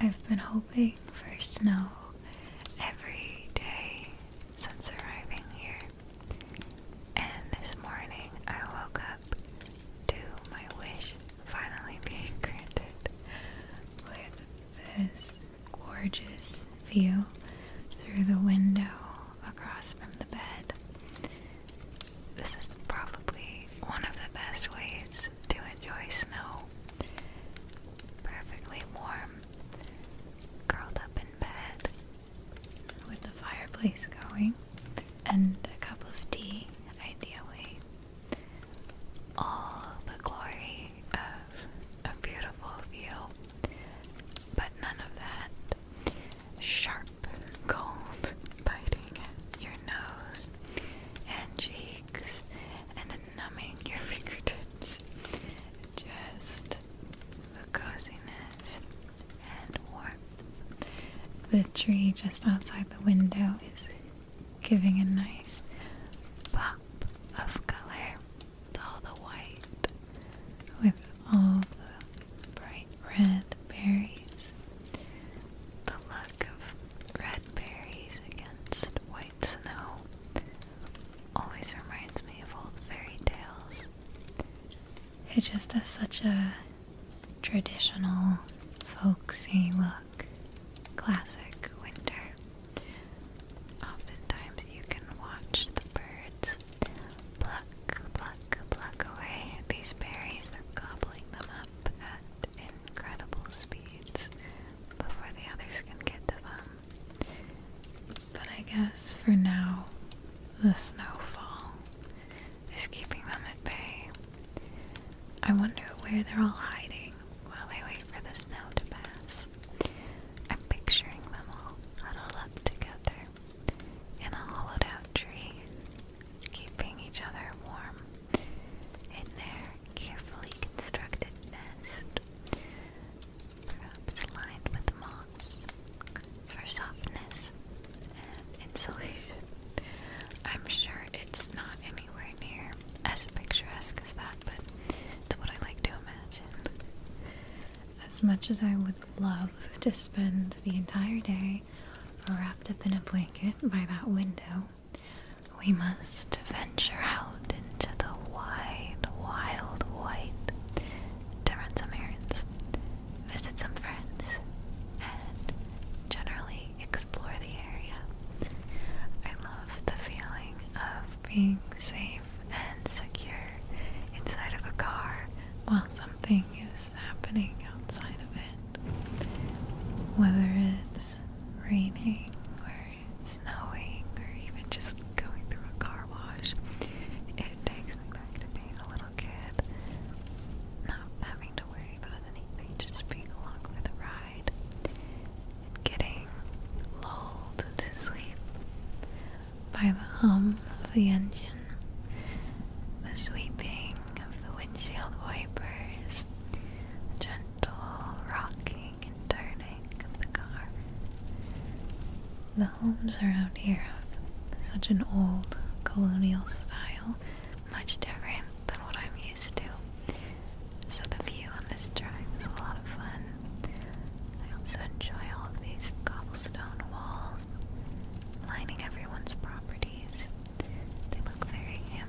I've been hoping for snow every day since arriving here. And this morning I woke up to my wish finally being granted with this gorgeous view through the window across from the bed. This is probably one of the best ways to enjoy snow. Perfectly warm, curled up in bed with the fireplace going, and a cup of tea, ideally. All the glory of a beautiful view, but none of that sharp cold biting your nose and cheek and numbing your fingertips. Just the coziness and warmth. The tree just outside the window is giving a nice pop of color to all the white with all the bright red berries. The look of red red berries against white snow always reminds me of old fairy tales. It just such a traditional, folksy look. Classic winter. Oftentimes you can watch the birds pluck, pluck, pluck away these berries. gobbling them up at incredible speeds before the others can get to them. But I guess for now, the snowfall is keeping them at bay. I wonder where they're all hiding while they wait for the snow to pass. I'm picturing them all huddled up together in a hollowed out tree, keeping each other warm in there carefully constructed nest, perhaps lined with moss for softness and insulation. I'm sure it's not anywhere near as picturesque as that, but it's what I like to imagine. As much as I would love to spend the entire day wrapped up in a blanket by that window, we must venture out into the wide, wild white to run some errands, visit some friends, and generally explore the area. I love the feeling of being safe and secure inside of a car while something is happening outside of it. Whether raining or snowing or even just going through a car wash, it takes me back to being a little kid. Not having to worry about anything, just being along for the ride and getting lulled to sleep by the hum of the engine, the sweeping of the windshield wipers, gentle rocking and turning the car. The homes around here have such an old colonial style, much different than what I'm used to. So the view on this drive is a lot of fun. I also enjoy all of these cobblestone walls lining everyone's properties. They look very handsome.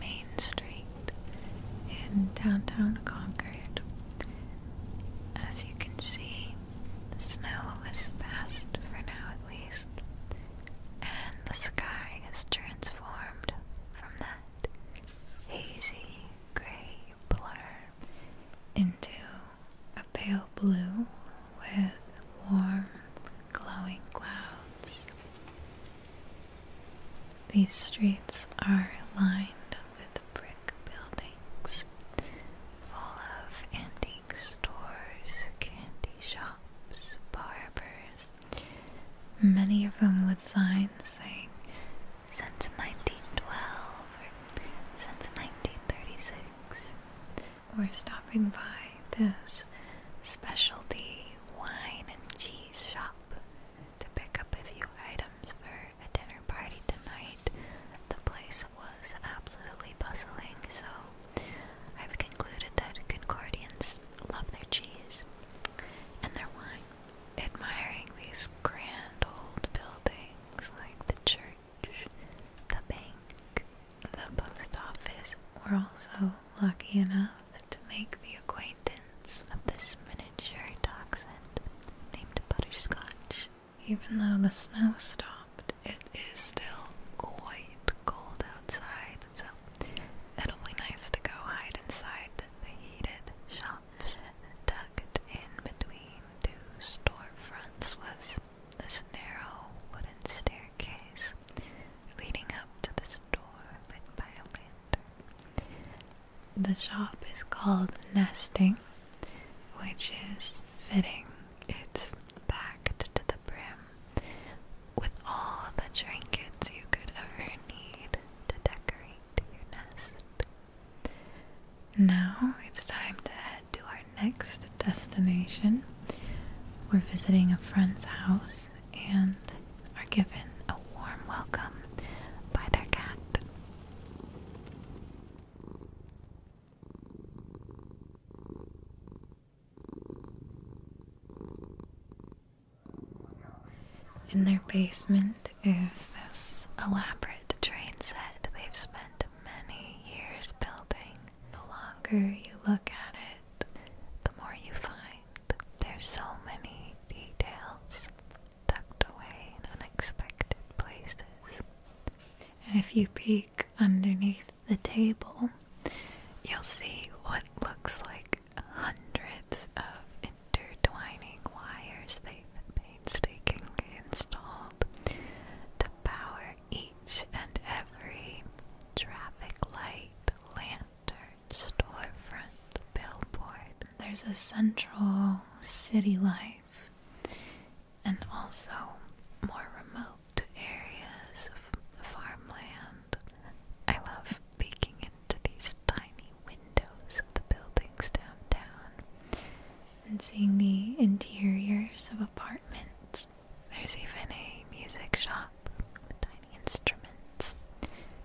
Main Street in downtown Concord. As you can see, the snow has passed for now at least, and the sky is transformed from that hazy gray blur into a pale blue with warm glowing clouds. These streets are lined with brick buildings full of antique stores, candy shops, barbers, many of them with signs saying since 1912 or since 1936. We're stopping by this specialty wine and cheese shop shop to pick up a few items for a dinner party tonight. The place was absolutely bustling, so I've concluded that Concordians love their cheese and their wine. Admiring these grand old buildings like the church, the bank, the post office were also lucky enough to make the acquaintance of this miniature dachshund named Butterscotch. Even though the snow stopped, it is still quite cold outside, so it'll be nice to go hide inside the heated shops. Tucked in between two storefronts was this narrow wooden staircase leading up to this door by a lantern. The shop is called Nesting, which is fitting. It's packed to the brim with all the trinkets you could ever need to decorate your nest. Now it's time to head to our next destination. We're visiting a friend's house and are given a warm welcome by their cat. In their basement is this elaborate train set they've spent many years building. The longer you look at it, the more you find there's so many details tucked away in unexpected places. If you peek underneath the table, you'll see what looks like hundreds of intertwining wires they've painstakingly installed to power each and every traffic light, lantern standard storefront billboard. There's a central city life and also more remote areas of the farmland. I love peeking into these tiny windows of the buildings downtown and seeing the interiors of apartments. There's even a music shop instruments,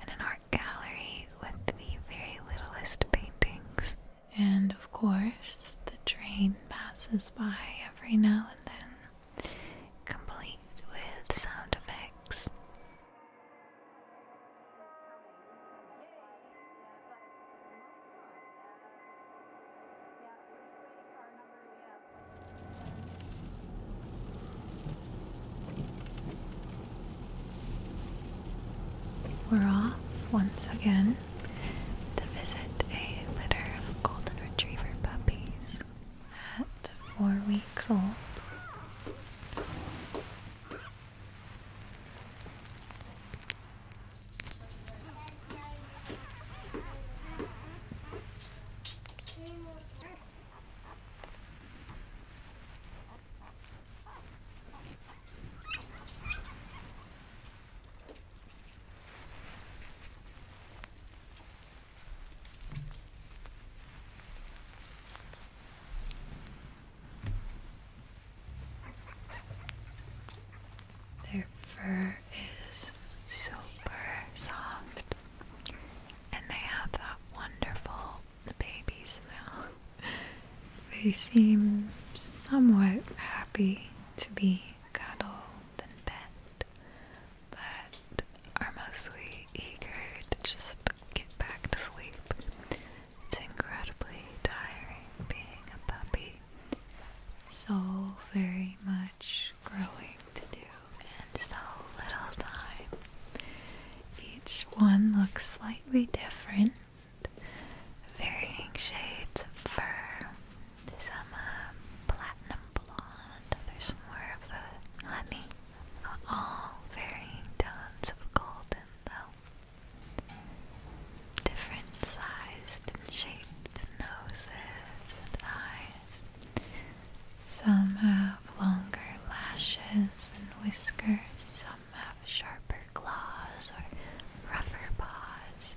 and an art gallery with the very littlest paintings. And of course, the train passes by every now and then, complete with sound effects. We're off once again to visit a litter of golden retriever puppies at four weeks old. Their fur is super soft, and they have that wonderful the babies now. they seem somewhat happy to be cuddled and petted, but are mostly eager to just get back to sleep. It's incredibly tiring being a puppy. So very much growing to do in so little time. Each one looks slightly different, varying shades of fur. Some uh, platinum blonde, others more of a honey. All varying tones of golden, though. Different sized and shaped noses and eyes. Some have longer lashes and whiskers, some have sharper claws or rougher paws.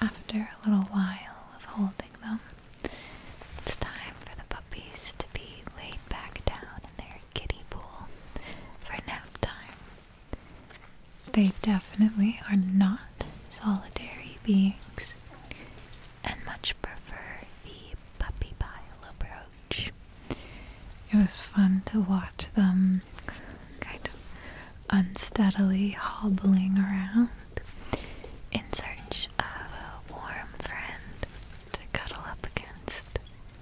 After a little while of holding them, it's time for the puppies to be laid back down in their kiddie pool for nap time. They definitely are not solitary beings and much prefer the puppy pile approach. It was fun to watch them kind of unsteadily hobbling around in search of a warm friend to cuddle up against.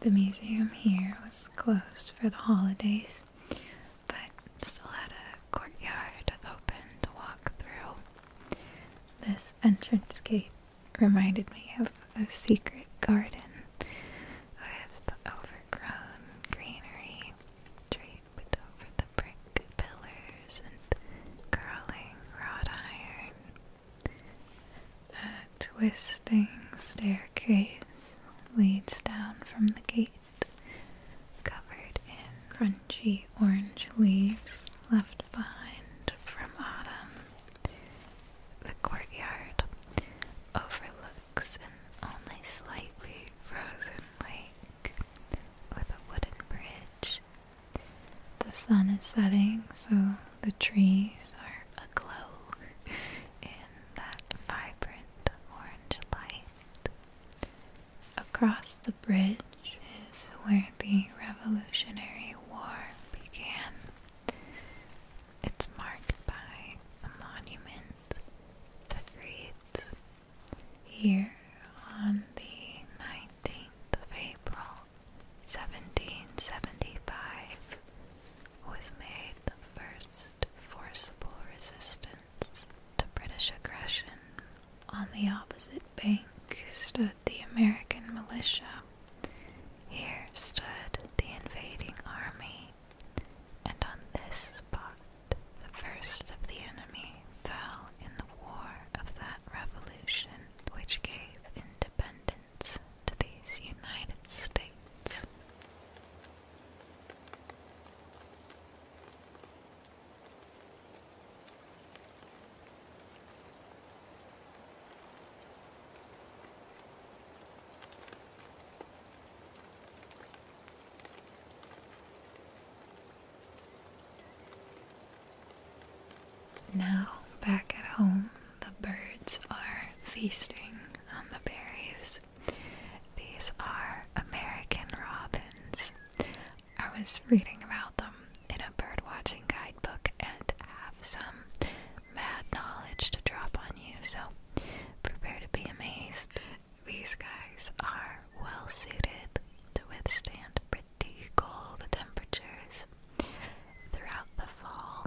The museum here was closed for the holidays, but still had a courtyard open to walk through. This entrance gate reminded me of a secret garden with overgrown greenery draped over the brick pillars and curling wrought iron. A twisting staircase leads down from the gate, covered in crunchy orange leaves left behind from autumn. The courtyard overlooks an only slightly frozen lake with a wooden bridge the sun is setting, so the trees are aglow in that vibrant orange light. Across the bridge is where the Revolutionary War began. It's marked by a monument that reads, Here on the 19th of April, 1775, was made the first forcible resistance to British aggression. On the opposite bank stood the American militia. Here stood the invading army, and on this spot the first of the enemy fell in the war of that revolution which gave independence to these United States. Now, back at home, the birds are feasting on the berries. These are American robins. I was reading about them in a birdwatching guidebook and have some mad knowledge to drop on you, so prepare to be amazed. These guys are well suited to withstand pretty cold temperatures. Throughout the fall,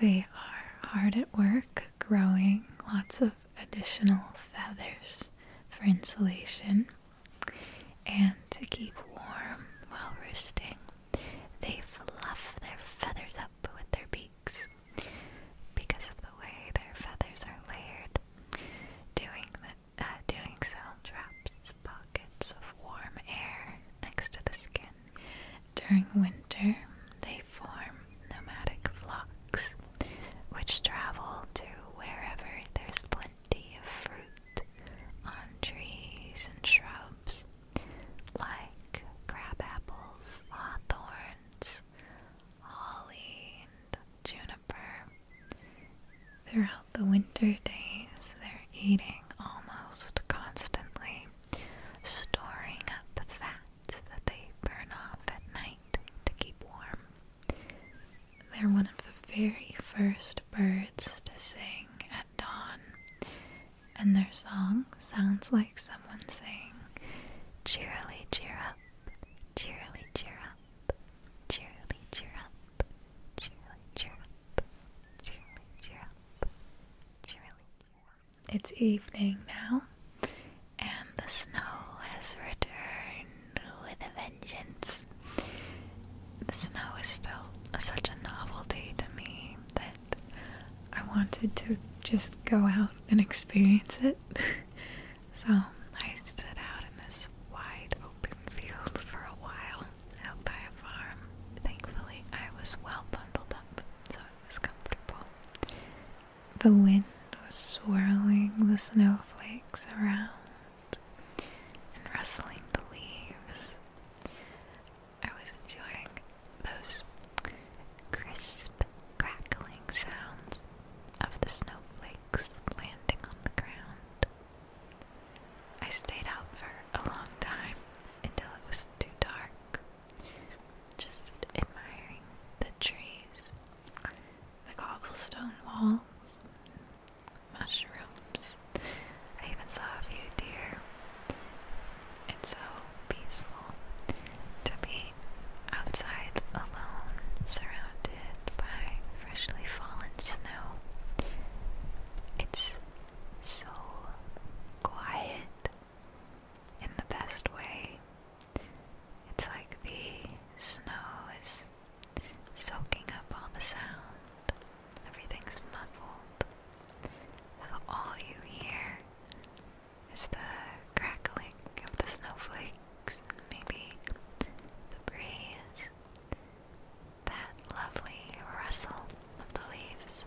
they are hard at work growing lots of additional feathers for insulation and to keep warm while roosting. They fluff their feathers up with their beaks because of the way their feathers are layered. Doing the, uh, doing so traps as pockets of warm air next to the skin. During winter, they form nomadic flocks which travel to wherever there's plenty of fruit on trees and shrubs like crab apples, hawthorns, holly, and juniper. Throughout the winter days, they're eating almost constantly, storing up the fats that they burn off at night to keep warm. They're one of the very first birds to sing at dawn, and their song sounds like someone saying, Cheerily, cheer up, cheerily, cheer up, cheerily, cheer up, it's evening now, and the snow has returned with a vengeance. The snow is still such a novelty to me that I wanted to just go out and experience it. so I stood out in this wide open field for a while out by a farm. Thankfully, I was well bundled up, so it was comfortable. The wind was swirling the snowflakes around and rustling the leaves. I was enjoying those crisp, crackling sounds of the snowflakes landing on the ground. I stayed out for a long time until it was too dark, just admiring the trees, the cobblestone walls, mushrooms. I even saw a few deer. It's so peaceful to be outside alone, surrounded by freshly fallen snow. It's so quiet in the best way. It's like the snow is soaking up all the sound, everything's muffled. So all you hear is the crackling of the snowflakes, maybe the breeze that lovely rustle of the leaves.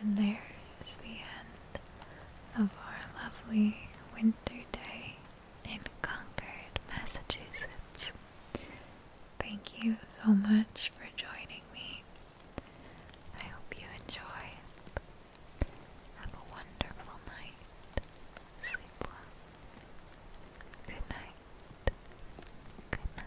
And there is the end of our lovely winter day in Concord, Massachusetts. Thank you so much for joining me. I hope you enjoy. Have a wonderful night. Sleep well. Good night. Good night.